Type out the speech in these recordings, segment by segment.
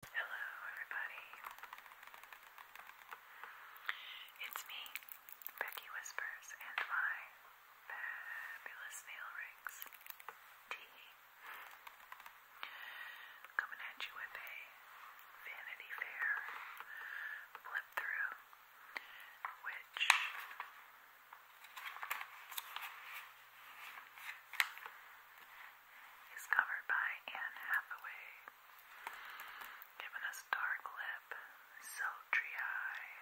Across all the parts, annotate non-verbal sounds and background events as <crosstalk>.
Hello, everybody. It's me, Becky Whispers, and my fabulous nail rings. Tea. Coming at you with a Vanity Fair flip through, which. He's covered by Anne Hathaway, giving us dark lip, sultry eye,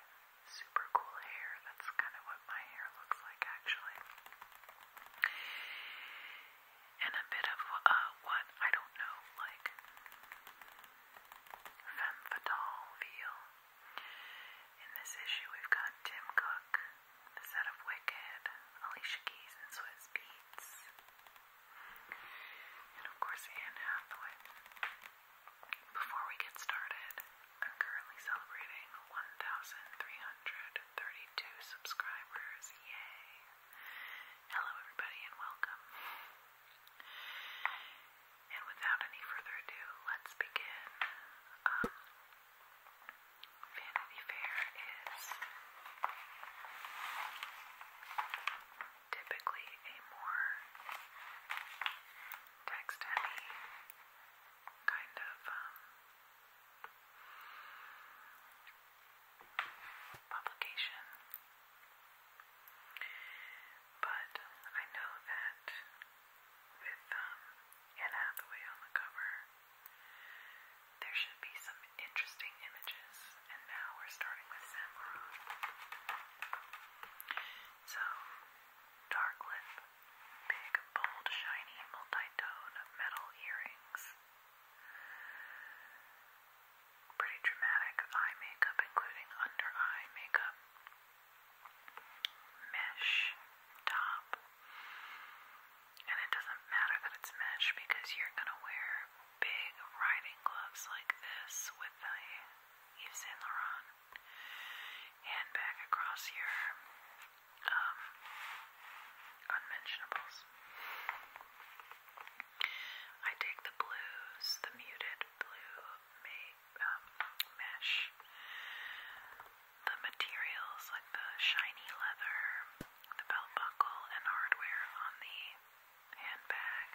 super cool hair. That's kind of what my hair looks like, actually. And a bit of uh, what I don't know, like femme fatale feel. In this issue, we've got Tim Cook, the set of Wicked, Alicia Keys, and *Swizz Beats, and of course Anne Hathaway. Before we get started, I'm currently celebrating 1,332 subscribers. Yay! Hello, everybody, and welcome. And without any further ado, let's begin. Um, Vanity Fair is typically a more text heavy kind of um, publication. But I know that with um, Anne Hathaway on the cover, there should be some interesting images, and now we're starting with Saint So, dark lip, big, bold, shiny, multi metal earrings. Pretty dramatic eye makeup, including under-eye makeup. Mesh top, and it doesn't matter that it's mesh because you're gonna wear big riding gloves like this with the Yves Saint Laurent handbag across your um, unmentionables. I take the blues, the muted blue um, mesh, the materials like the shiny leather, the belt buckle and hardware on the handbag,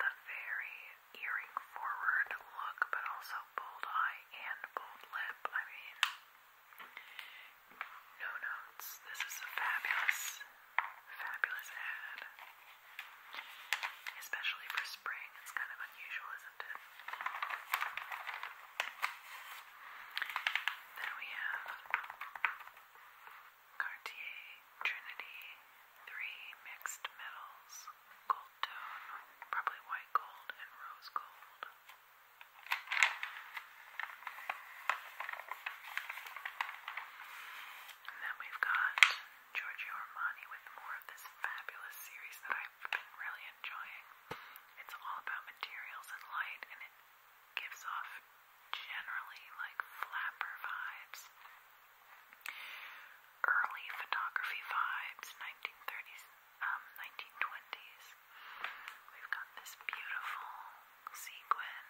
the very earring forward look, but also bold eye and bold lip. I mean, no notes. This is a fabulous, fabulous ad. Especially for spring, it's kind of unusual, isn't it? Then we have Cartier Trinity 3 mixed metals, gold tone, probably white gold and rose gold. And then we've got Giorgio Armani with more of this fabulous series that I've been really enjoying. It's all about materials and light, and it gives off generally like flapper vibes, early photography vibes, 1930s, 1920s. Um, We've got this beautiful sequin,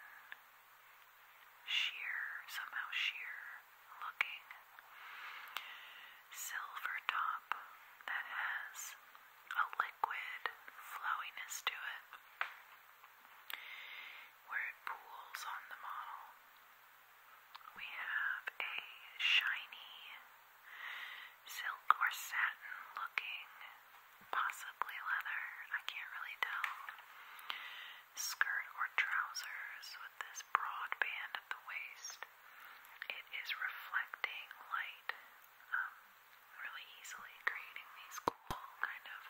sheer, somehow sheer looking silver top that has a liquid flowiness to it where it pools on the model. We have a shiny silk or satin looking, possibly leather, I can't really tell, skirt or trousers with this broad band at the waist. It is reflecting light. Um, really easily creating these cool kind of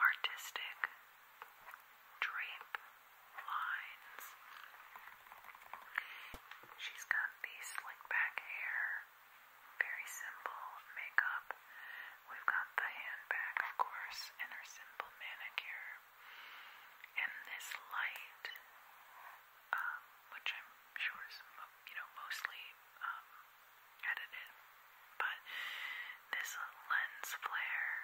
artistic drape lines. She's got these slick back hair, very simple makeup. We've got the handbag, of course, and her simple manicure. And this light, um, which I'm sure is, you know, mostly um, edit But this lens flare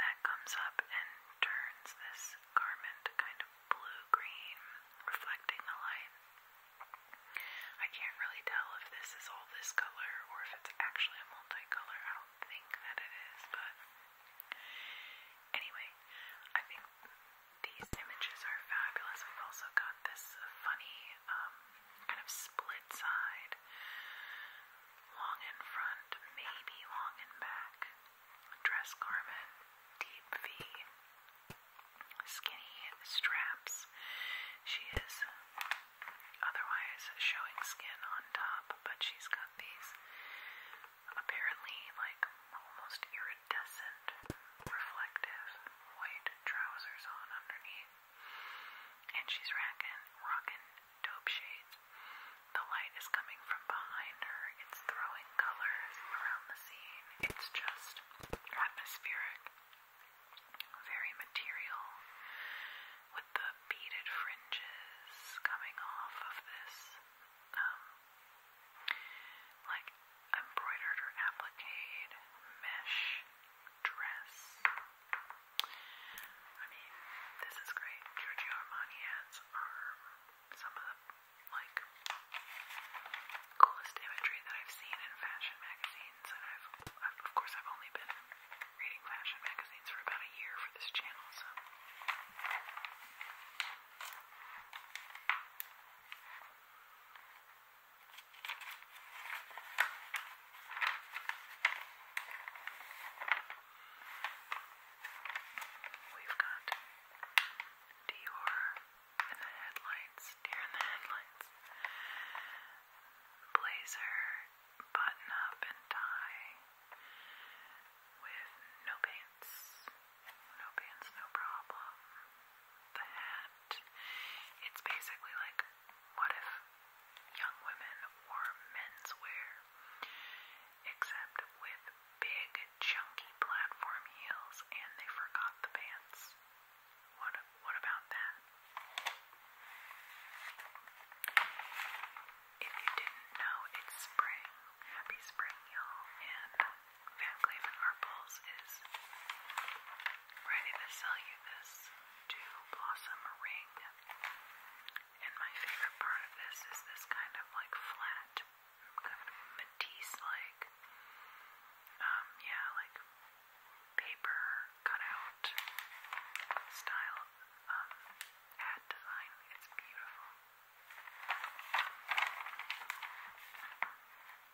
that comes up and turns this garment kind of blue-green, reflecting the light. I can't really tell if this is all this color or if it's actually a multicolor. I don't think that it is, but anyway, I think these images are fabulous. We've also got this funny um, kind of split side, long in front, maybe long in back, dress garment, deep V, skinny straps. She is otherwise showing skin on top, but she's got these apparently like almost iridescent iridescent, reflective white trousers on underneath. And she's rocking, rocking dope shades. The light is coming from behind her. It's throwing colors around the scene. It's just atmospheric, very material, with the beaded fringes coming off of this, um, like embroidered or applique, mesh, dress. I mean, this is great. Giorgio Armani ads are some of the like coolest imagery that I've seen in fashion magazines, and of course I've only been reading fashion magazines for about a year for this channel, so. We've got Dior in the headlights, deer in the headlights, blazer, button up, and tie with no pants. No pants, no problem. The hat it's basically like, what if young women wore menswear, except with big, chunky platform heels, and they forgot the pants? What, what about that? If you didn't know, it's spring. Happy spring, y'all, and Van Cleef & Arpels is ready to sell you this to blossom ring. And my favorite part of this is this kind of like flat, kind of Matisse-like, um, yeah, like paper cutout style um, ad design. It's beautiful.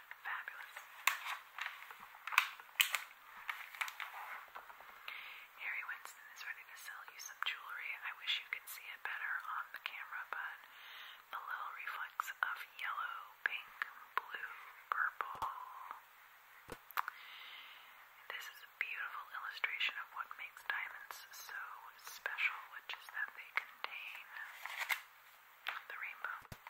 Fabulous. Harry Winston is ready to sell you some jewelry. I wish you could see it better on the camera, but the little reflex of yellow, pink, blue, purple. This is a beautiful illustration of what makes diamonds so special, which is that they contain the rainbow. And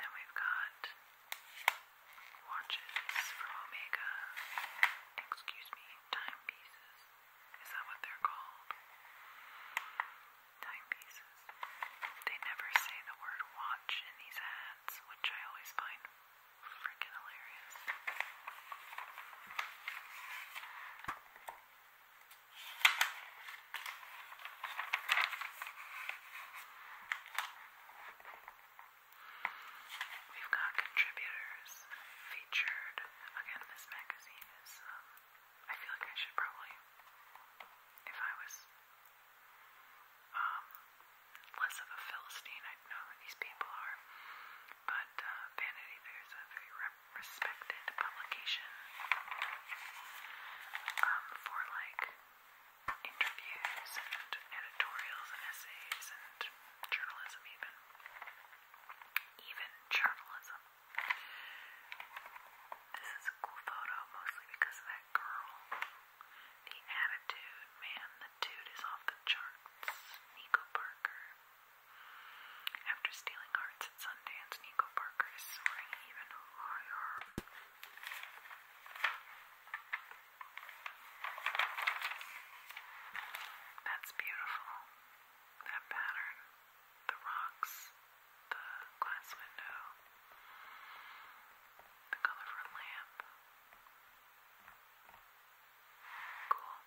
then we've got watches from Omega. Excuse me, timepieces. Is that what they're called? Timepieces. They never say the word watch in these ads, which I always find freaking hilarious. We've got contributors featured. Again, this magazine is, um, I feel like I should probably, if I was um, less of a Philistine, I'd know who these people are but uh, Vanity Fair is a very respected publication um, for like interviews and editorials and essays and journalism, even. Even journalism. This is a cool photo, mostly because of that girl. The attitude, man, the dude is off the charts. Nico Parker. After stealing hearts at Sundance, Nico Parker is soaring even higher. That's beautiful. That pattern, the rocks, the glass window, the color of a lamp. Cool.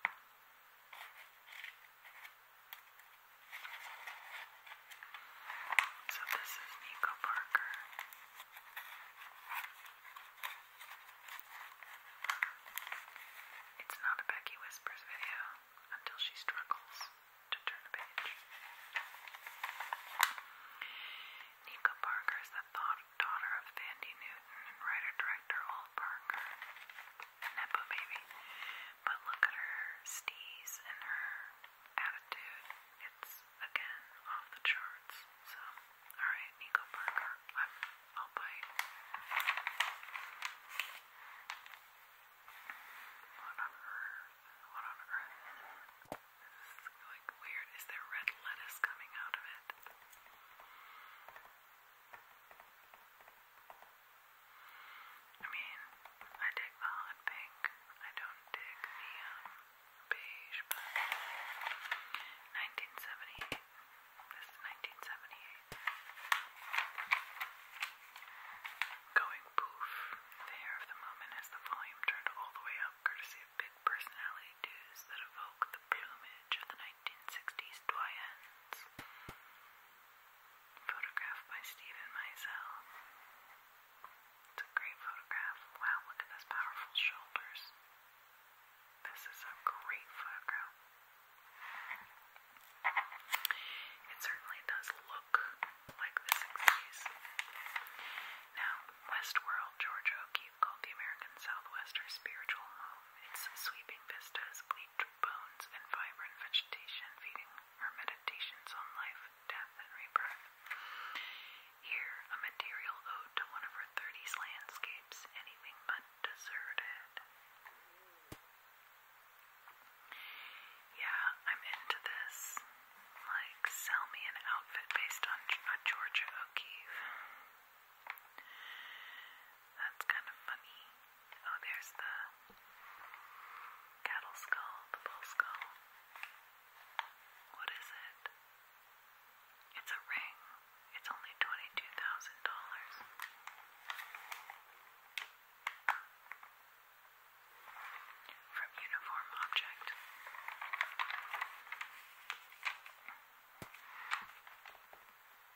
So this is Nico Parker. It's not a Becky Whispers video until she struggles to turn a page. Nico Parker is the daughter of Thandi Newton and writer-director burger, a Nepo baby. But look at her steez and her attitude. It's, again, off the charts. So, alright, Nico Burger, i will bite. What on earth? What on earth? This is like weird. Is there red lettuce coming out of it? I mean, I dig the hot pink. I don't dig the um, beige, 1978. This is 1978. Going poof. The hair of the moment has the volume turned all the way up, courtesy of big personality dues that evoke the plumage of the 1960s doyens. Photographed by Stephen Meisel. It's a great photograph. Wow, look at those powerful shoulders. This is a great photograph. It certainly does look like the 60s. Now, Westworld, George O'Keefe called the American Southwest her spiritual home. Its sweeping vistas, bones and vibrant vegetation, feeding her meditations on life, death, and rebirth. Here, a material ode to one of her 30s landscapes, anything but deserted. Yeah, I'm into this. Like, sell me an outfit based on Georgia O'Keeffe. That's kind of funny. Oh, there's the cattle skull, the bull skull. What is it? It's a ring. It's only $22,000. From Uniform Object.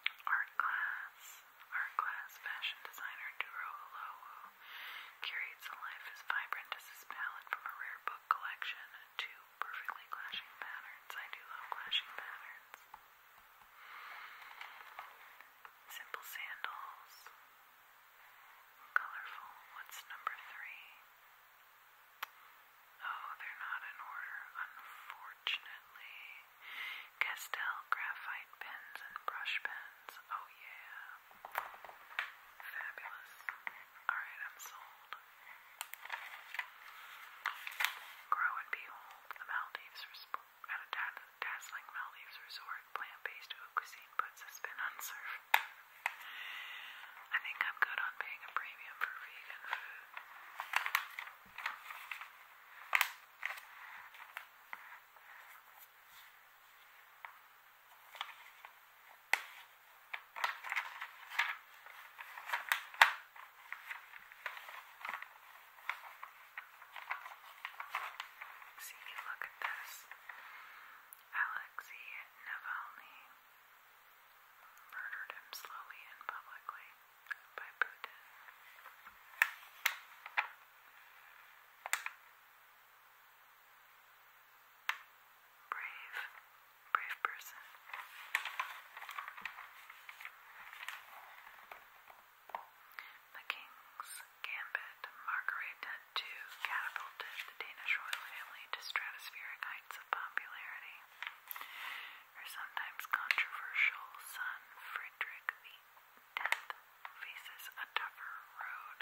art class, art class fashion designer Duro Olowu curates a life as vibrant as his palette from a rare book collection to perfectly clashing patterns. I do love clashing patterns. Simple sandals. Colorful. What's number three? Oh, they're not in order, unfortunately. Castell graphite pens and brush pens. Oh yeah. Fabulous. Alright, I'm sold. Grow and behold, the Maldives at a dazzling Maldives resort, plant-based cuisine puts a spin surf. I think I'm good on paying a premium for vegan food. See, look at this. Alexei Navalny murdered him slowly and publicly by Buddha. Brave, brave person. The king's gambit, Margaret had too catapulted the Danish royal family to stratospheric heights of popularity. Her sometimes controversial son, Frederick VIII, death faces a tougher road.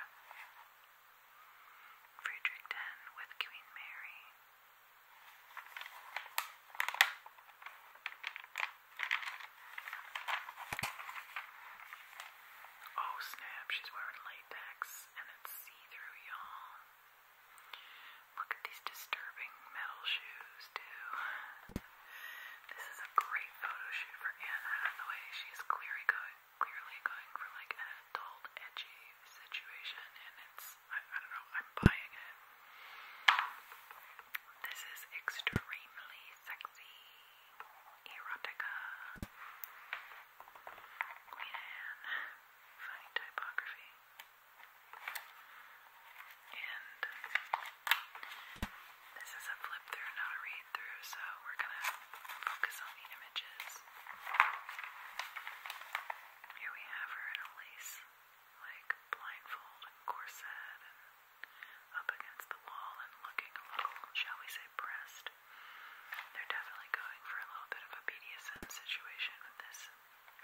Fredericton with Queen Mary. Oh snap, she's wearing latex and it's see-through, y'all. Look at these disturbing metal shoes, too. This is a great photo shoot for Anna. Anne Hathaway. She's clearly going, clearly going for like an adult, edgy situation, and it's I don't know. I'm buying it. This is extremely sexy erotica. Queen Anne, funny typography and this is a flip through, not a read through, so we're gonna focus on the images. Here we have her in a lace, like blindfold corset, up against the wall and looking a little, shall we say, pressed. They're definitely going for a little bit of a BDSM situation with this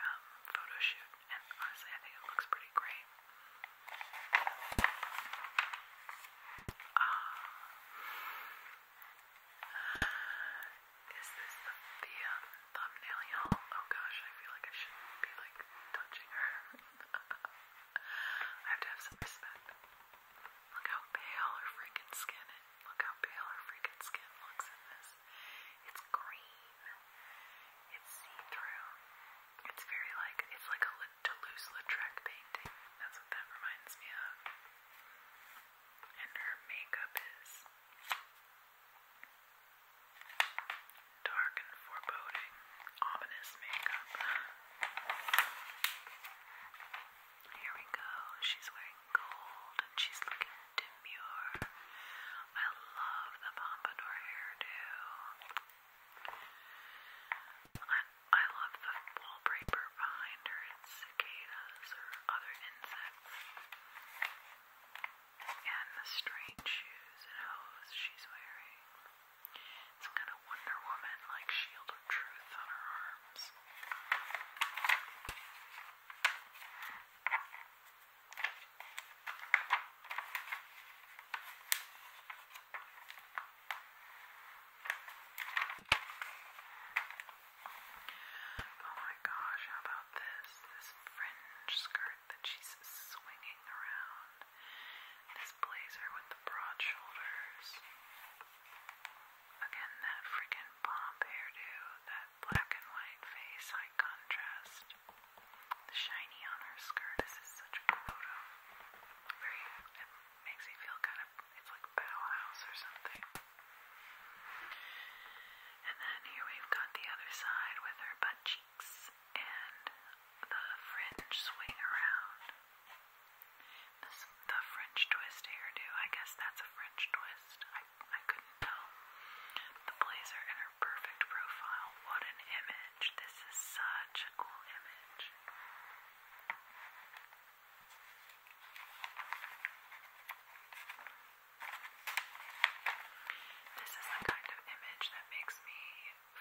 um, photo shoot, and honestly, I think it looks pretty great. Ah. Is this the, the um, thumbnail y'all? Oh gosh, I feel like I shouldn't be like touching her. <laughs> I have to have some respect. Look how pale her freaking skin is. Look how pale her freaking skin looks in this. It's green. It's see-through. It's very like, it's like a Toulouse-Lautrec painting. That's what that reminds me of. And her makeup is dark and foreboding, ominous makeup. Here we go. She's wearing gold and she's looking demure. I love the pompadour hairdo. I, love the wallpaper behind her. cicadas or other insects. And the strange shoes and hose she's wearing. It's kind of Wonder Woman like shield of truth on her arms. Oh my gosh, how about this? This fringe skirt that she's swinging around. This blazer with the broad shoulders. Again, that freaking bomb hairdo, that black and white face, high contrast. The shiny on her skirt. This is such a photo very, it makes me feel kind of, it's like Bauhaus or something. And then here we've got the other side with her butt cheeks and the fringe swing around. the French twist hairdo, I guess that's a French twist. I, I couldn't tell. The blazer and her perfect profile. What an image. This is such a cool image. This is the kind of image that makes me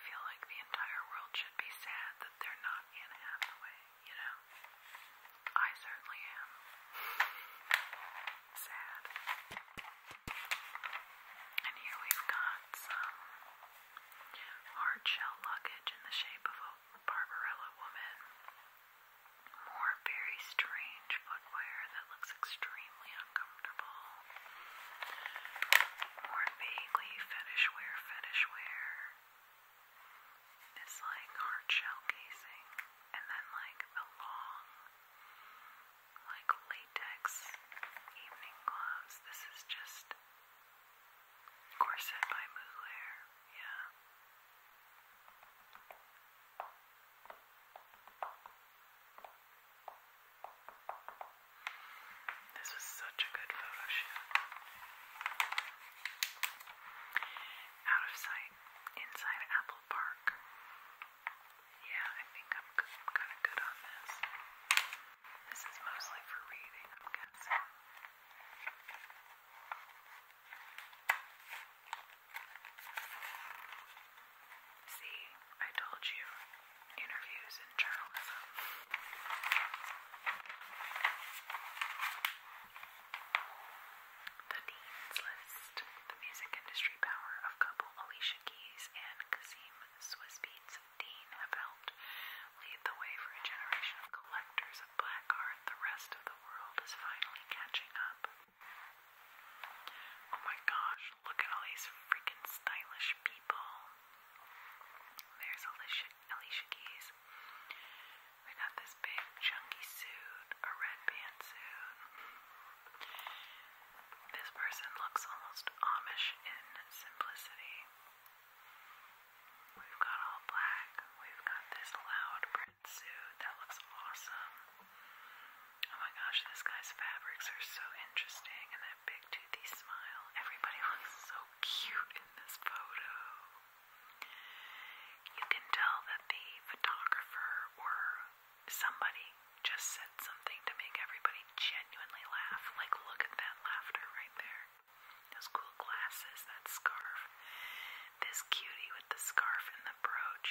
feel like the entire world should be sad that they're not in Hathaway, you know? I certainly am. Sad. And here we've got some hard shell luggage in the shape of a Barbarella woman, more very strange footwear that looks extremely uncomfortable, more vaguely fetish wear, fetish like hard casing, and then like the long, like latex evening gloves. This is just Corset by Mugler, yeah. This was such a good photo shoot. Out of sight, inside Apple Park. Yeah, I think I'm kind of good on this. This is mostly for reading, I'm guessing. See, I told you. Interviews in journalism. The Dean's List. The music industry power of couple Alicia Keys and Kasim Swissbeats about lead the way for a generation of collectors of black art. The rest of the world is finally catching up. Oh my gosh, look at all these freaking stylish people. There's Alicia, Alicia Keys. We got this big chunky suit, a red pantsuit. This person looks almost Amish in simplicity. We've got all black. We've got this loud print suit that looks awesome. Oh my gosh, this guy's fabrics are so interesting, and that big toothy smile. Everybody <laughs> looks so cute in this photo. You can tell that the photographer or somebody just said something to make everybody genuinely laugh. Like, look at that laughter right there. Those cool glasses, that scarf. This cutie with the scarf and the brooch.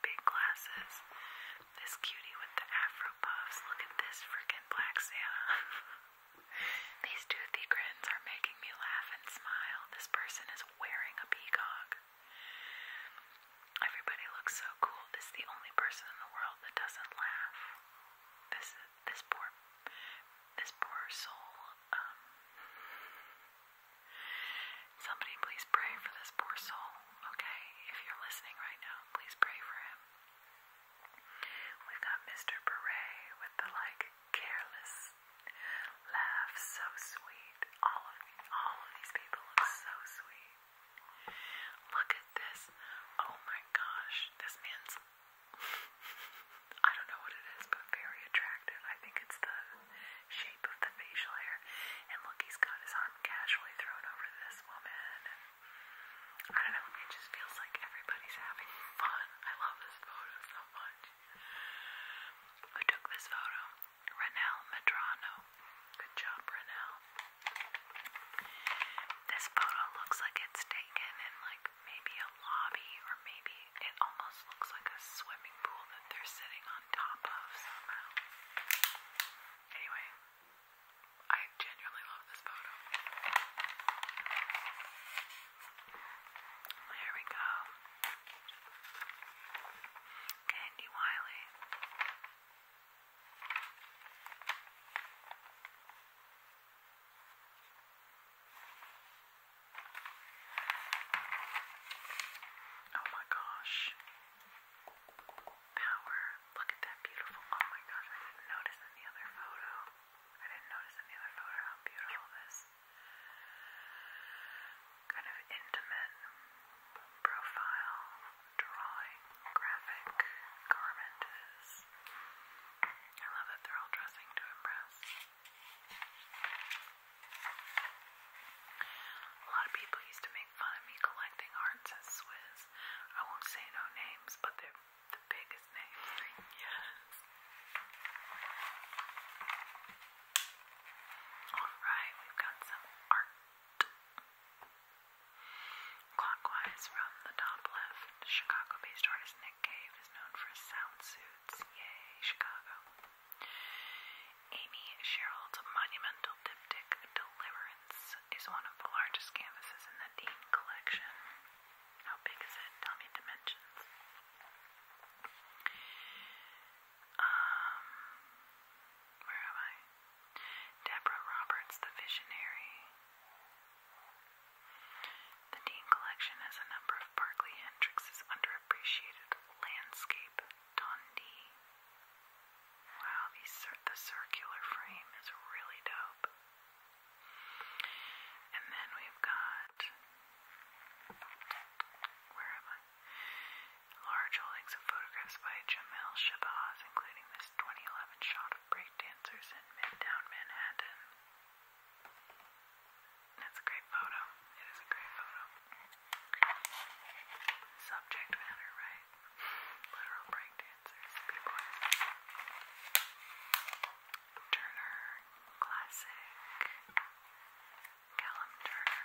Big glasses. This cutie with the afro puffs. Look at this freaking black Santa. <laughs> These toothy grins are making me laugh and smile. This person is wearing a peacock. Everybody looks so cool. This is the only person in the world that doesn't laugh. This is this poor this poor soul. Um, somebody please pray for this poor soul, okay? If you're listening right now, please pray for him. We've got Mr. Beret with the like careless laugh, so sweet. All of all of these people look so sweet. Look at this. Oh my gosh, this man's I don't know what it is, but very attractive. I think it's the shape of the facial hair. And look, he's got his arm casually thrown over this woman. And I don't know, it just feels like everybody's having fun. I love this photo so much. Who took this photo? Renelle Medrano. Good job, Renelle. This photo looks like it's taken in like maybe a lobby or maybe it almost looks like a swimming pool that they're sitting on top of somehow. Anyway, I genuinely love this photo. There we go. Candy Wiley. Oh my gosh. Power. Look at that beautiful. Oh my gosh, I didn't notice in the other photo. I didn't notice in the other photo how beautiful this kind of intimate profile, drawing, graphic garment is. I love that they're all dressing to impress. A lot of people used to make fun of me collecting arts as Swiss. I won't say no names, but they're the biggest names. <laughs> yes. Alright, we've got some art. Clockwise from the top left, Chicago based artist Nick Cave is known for his sound suits. Yay, Chicago. Amy Sherald's monumental diptych Deliverance is one of the largest canvases in the Dean collection. How big is it? Tell me dimensions. Um, where am I? Deborah Roberts, the visionary. The Dean Collection has a number of Barclay Hendricks' underappreciated landscape Wow, the circular frame is really dope. And then we've got where am I? Large holdings of photographs by Jamel Shabazz, including this 2011 shot of breakdancers in Midtown Manhattan. That's a great photo. It is a great photo. Subject matter, right? Literal breakdancers, b-boys. Turner, classic. Callum Turner.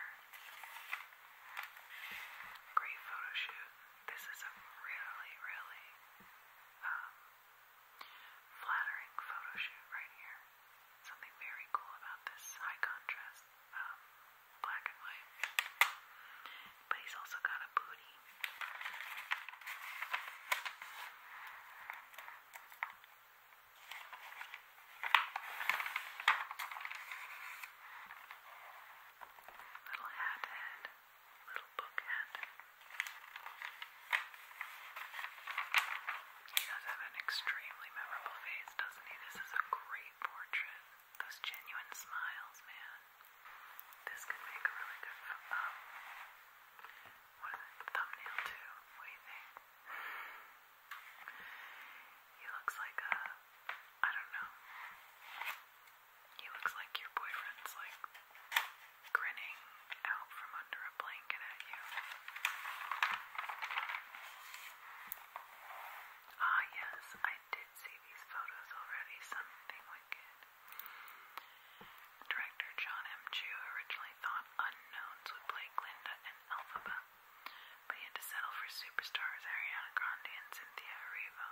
Great photo shoot. This is a really, really um, flattering photo shoot right here. Something very cool about this high contrast um, black and white. But he's also got a booty. Little hat head little book hat. He does have an extremely memorable face, doesn't he? This is a great portrait. Those genuine smiles, man. This could make a really good um, what is it? thumbnail too. What do you think? He looks like a I don't know. He looks like your boyfriend's like grinning out from under a blanket at you. Ah, yes, I did see these photos already. Something wicked. Director John M. Chu originally thought unknowns would play Glinda and Elphaba, but he had to settle for superstars Ariana Grande and Cynthia Erivo.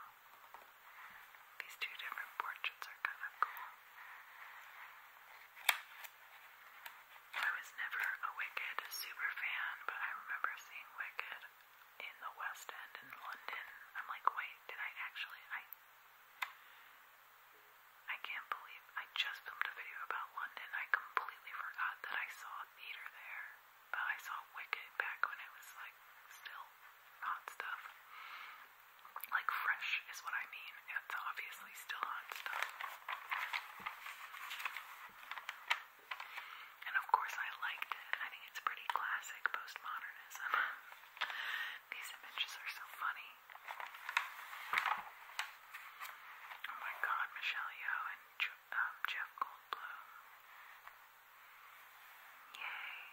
These two different portraits are kind of cool. I was never a Wicked super fan, but I remember seeing Wicked in the West End in London. I'm like, wait, did I actually? I can't believe I just filmed a video about London. I completely forgot that I saw a theater there, but I saw Wicked back when it was like still hot stuff. Like fresh is what I mean. It's obviously still hot stuff. And of course I liked it. I think it's pretty classic postmodernism. <laughs> These images are so funny. Oh my god, Michelle Yeoh and um, Jeff Goldblum. Yay.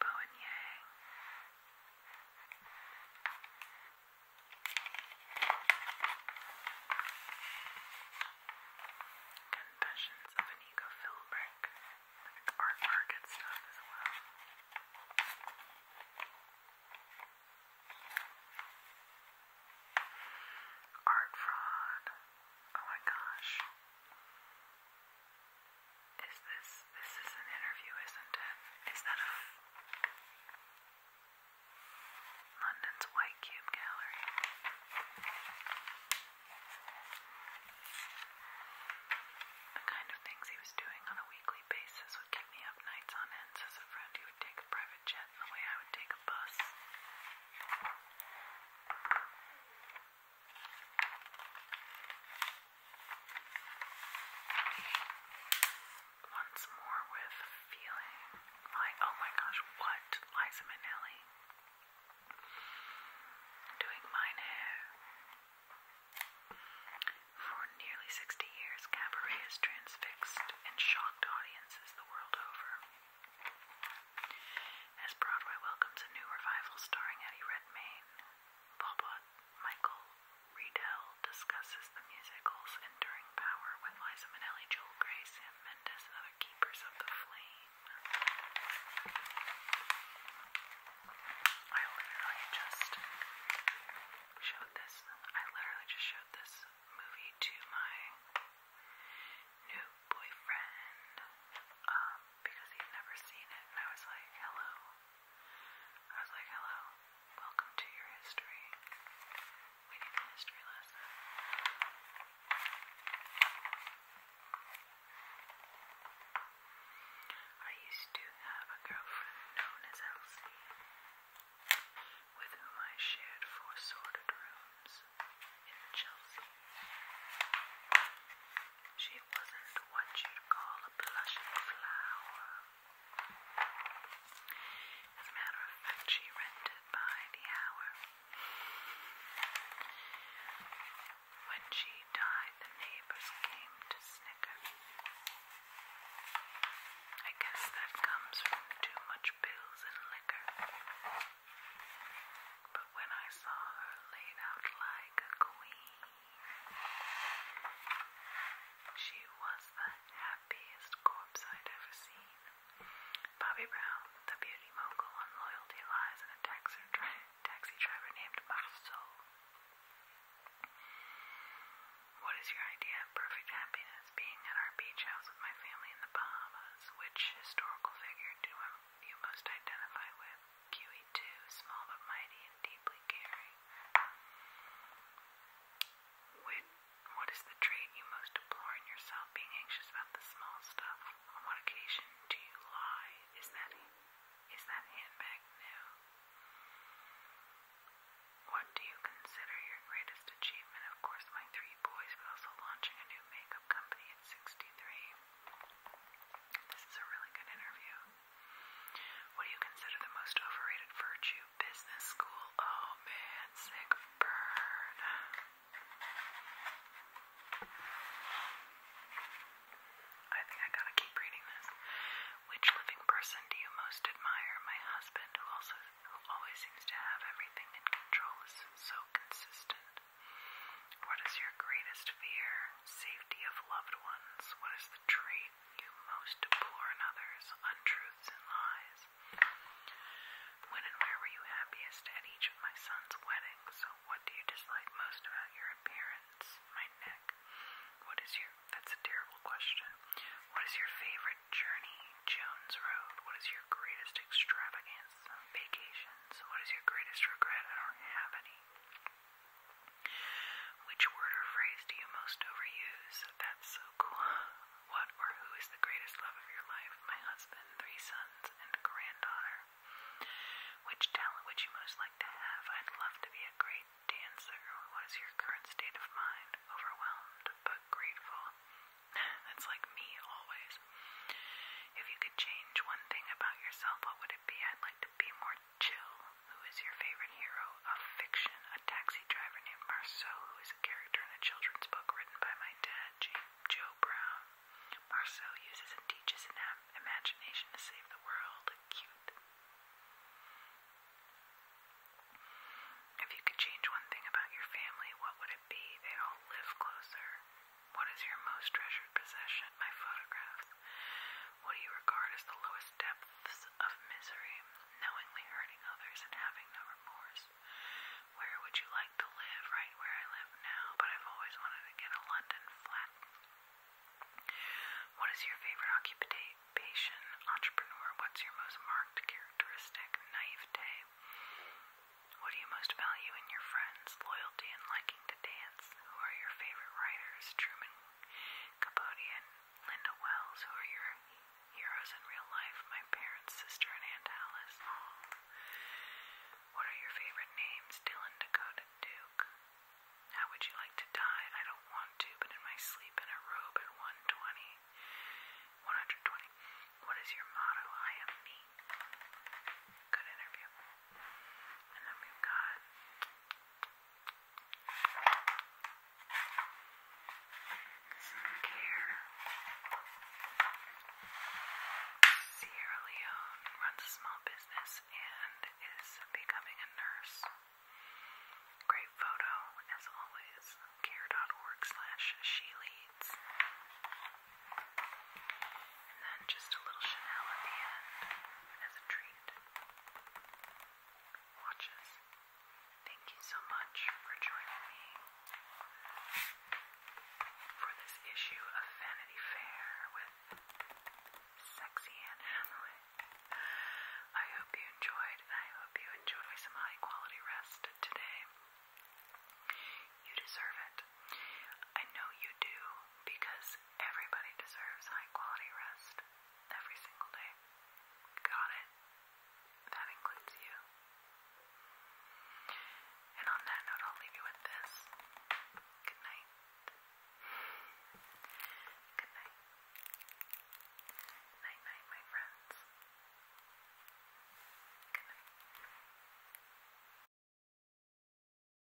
Bo and Yang. Confessions of an Ego Philbrick. Art market stuff as well. Art fraud. Oh my gosh. Is this this is an interview, isn't it? Is that a London's White Cube Gallery? The kind of things he was doing on a weekly basis would keep me up nights on end. As a friend, he would take a private jet the way I would take a bus. Once more with feeling like, oh my gosh, what? Liza Minnelli doing mine hair. For nearly 60 years, cabaret has transfixed and shocked audiences the world over. As Broadway welcomes a new revival starring Eddie Redmayne, Bobot Michael Riedel discusses the musical's enduring power with Liza Minnelli, Joel Gray, Sam Mendes, other keepers of the flame. I literally just showed this. I literally just showed this movie to my new boyfriend. Um, because he'd never seen it, and I was like, hello. I was like, hello, welcome to your history. We need a history lesson. I used to have a girlfriend known as Elsie, with whom I shared four sordid rooms in Chelsea. She wasn't what you'd call a blushing flower. As a matter of fact, she rented by the hour. When she died, the neighbors came to snicker. I guess that comes from too much pills and liquor. But when I saw her laid out like a queen, she was the happiest corpse I'd ever seen. Bobby Brown, the beauty mogul on Loyalty Lies and a taxi, driver named Marceau. What is your idea of perfect happiness? Being at our beach house with my family in the Bahamas. Which historical figure do you most identify with? QE2, small but mighty and deeply caring. What, what is the trait you most deplore in yourself? Being anxious about the small stuff. On what occasion do you lie? Is that is that handbag new? What do you consider your greatest achievement? Of course, my three boys, but also launching a new makeup company at 63. This is a really good interview. What do you consider the most overrated virtue? Business school. Oh man, sick burn. I think I gotta keep reading this. Which living person do you most admire? My husband, who also who always seems to have everything in control, is so consistent. What is your greatest fear? safety of loved ones. What is the trait you most deplore in others? Untruths and lies. When and where were you happiest at each of my son's weddings? So what do you dislike most about your appearance? My neck. What is your that's a terrible question. What is your favorite journey? Jones Road. What is your greatest extravagance? Vacations. What is your greatest regret? I don't have any. Which word or phrase do you most overuse? That's so cool. What or who is the greatest love of your life? My husband, three sons, and granddaughter. Which talent would you most like to have? I'd love to be a great dancer. What is your current state of mind? Overwhelmed but grateful. <laughs> That's like me always. If you could change one thing about yourself, what would it be? I'd like to be more Jill, who is your favorite hero of fiction, a taxi driver named Marceau, who is a character in a children's book written by my dad, J Joe Brown. Marceau uses and teaches an imagination to save the world. Cute. If you could change one thing about your family, what would it be? They all live closer. What is your most treasured? possession, my photographs. What do you regard as the lowest depths of misery, knowingly hurting others and having no remorse? Where would you like to live, right where I live now? But I've always wanted to get a London flat. What is your favorite occupation, entrepreneur? What's your most marked characteristic, naivete? What do you most value in your friends? Loyalty and liking to dance? Who are your favorite writers? Truman Capote and Linda Wells, who are your heroes in real life, my parents, sister, and Aunt Alice. What are your favorite names? Dylan Dakota Duke. How would you like to die? I don't want to, but in my sleep in a robe at 120. 120. What is your motto? I am me. Good interview. And then we've got Skincare. Sierra runs a small business and is becoming a nurse. Great photo, as always. Care.org slash she leads. And then just a little Chanel at the end as a treat watches. Thank you so much for joining me for this issue of Vanity Fair with Sexy Anne Hathaway. I hope you enjoyed, I hope you enjoy some high quality rest today. You deserve it. I know you do because everybody deserves high quality rest every single day. Got it? That includes you. And on that note, I'll leave you with this. Good night. Good night. Night night, my friends. Good night.